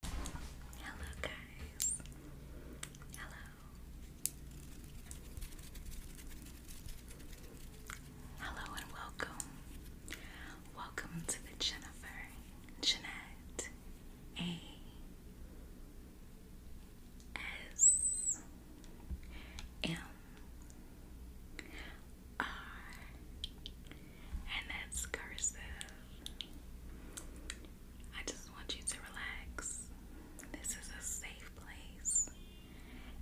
Hello, guys. Hello. Hello and welcome. Welcome to the Jennifer Jeanette A S M R and that's cursive I just want you to relax. This is a safe place,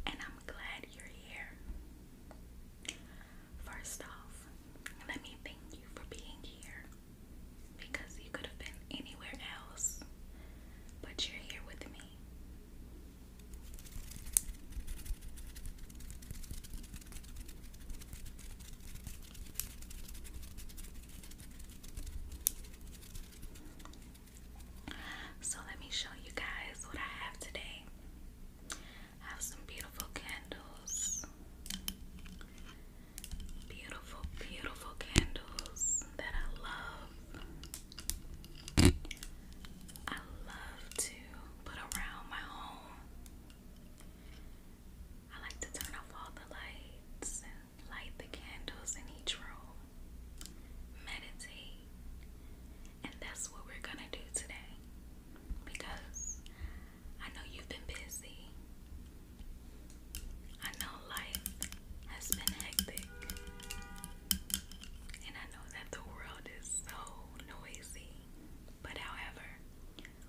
and I'm glad you're here. First off, let me thank you for being here because you could have been anywhere else, but you're here with me. So let me show you guys what I have today. have some beautiful candles. Beautiful, beautiful candles that I love. I love to put around my home. I like to turn off all the lights and light the candles in each room. Meditate. And that's what we're gonna do today because I know you've been busy. I know life has been hectic. And I know that the world is so noisy. But however,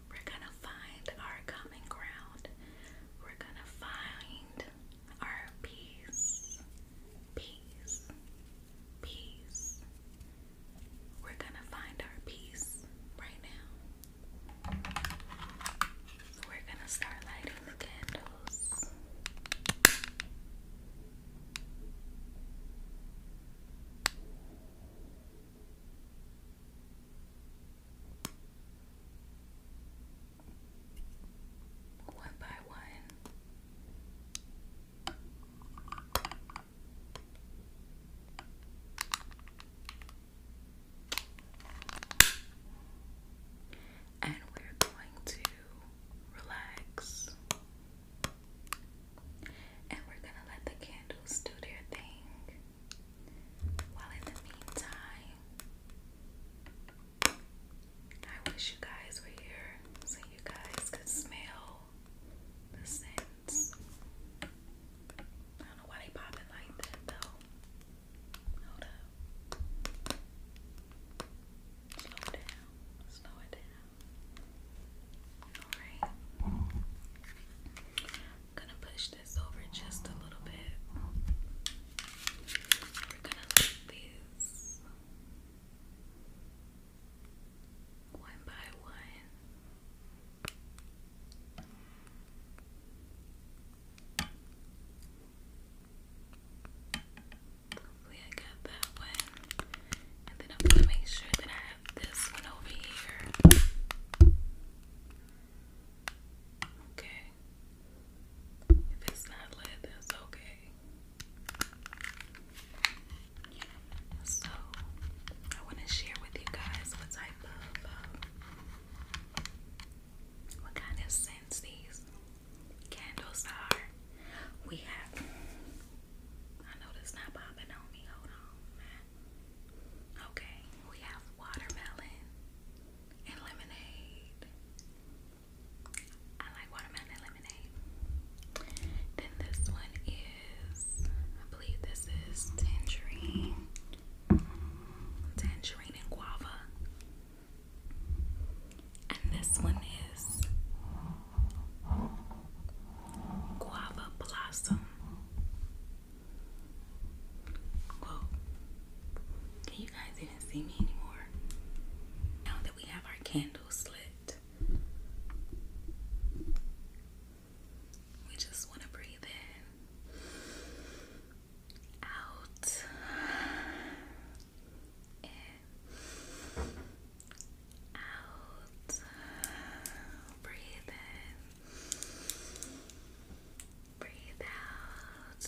we're gonna find our common ground. We're gonna find our peace. Peace. Peace. We're gonna find our peace right now. we're gonna start lighting the candles one by one. And we're going to relax. And we're gonna let the candles do their thing. While in the meantime, I wish you guys were here so you guys could smell the scents. I don't know why they popping like that though. Hold up. Slow down. Slow down. Alright. I'm gonna push this over just a little bit. We're gonna let these one by one. I got that one. And then I'm gonna make sure that I have this one over here. Okay. If it's not lit, that's okay. So I want to share with you guys what type of um, what kind of scents these candles are. We have I know that's not popping on me. Hold on. Man. Okay, we have watermelon and lemonade. I like watermelon and lemonade. Then this one is, I believe this is tangerine. Tangerine and guava. And this one is Guava Blossom. Whoa. Can you guys even see me anymore? Now that we have our candles lit, we just want to breathe in, out, in, out, breathe in, breathe out.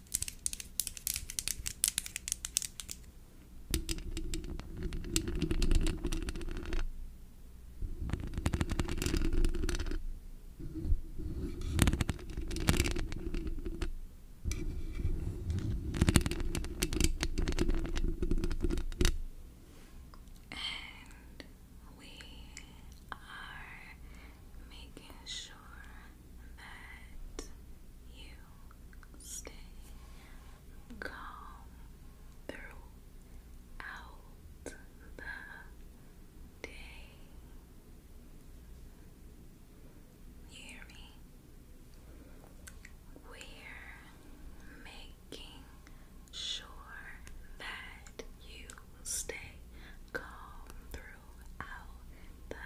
And we are making sure that you stay calm throughout the day. hear me? We're making sure that you will stay calm throughout the day.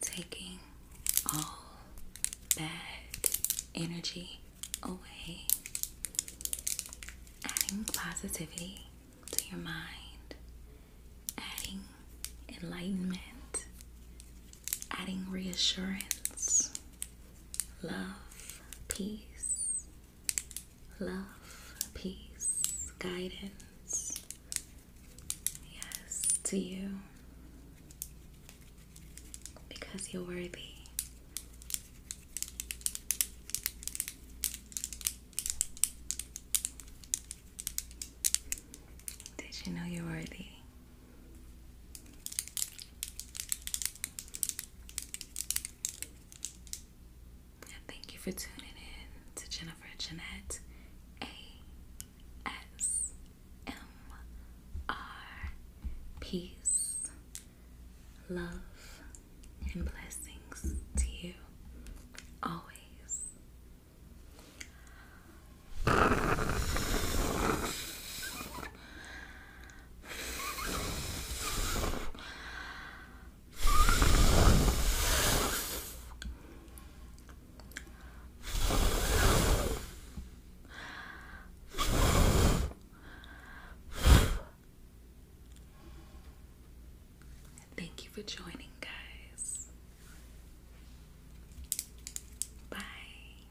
Taking all bad energy away, adding positivity to your mind, adding enlightenment, adding reassurance, love, peace, love, peace, guidance. Yes, to you. Because you're worthy. Did you know you're worthy? thank you for tuning in to Jennifer Jeanette A S M R. Peace, love, and blessings to you always. Thank you for joining, guys. Bye.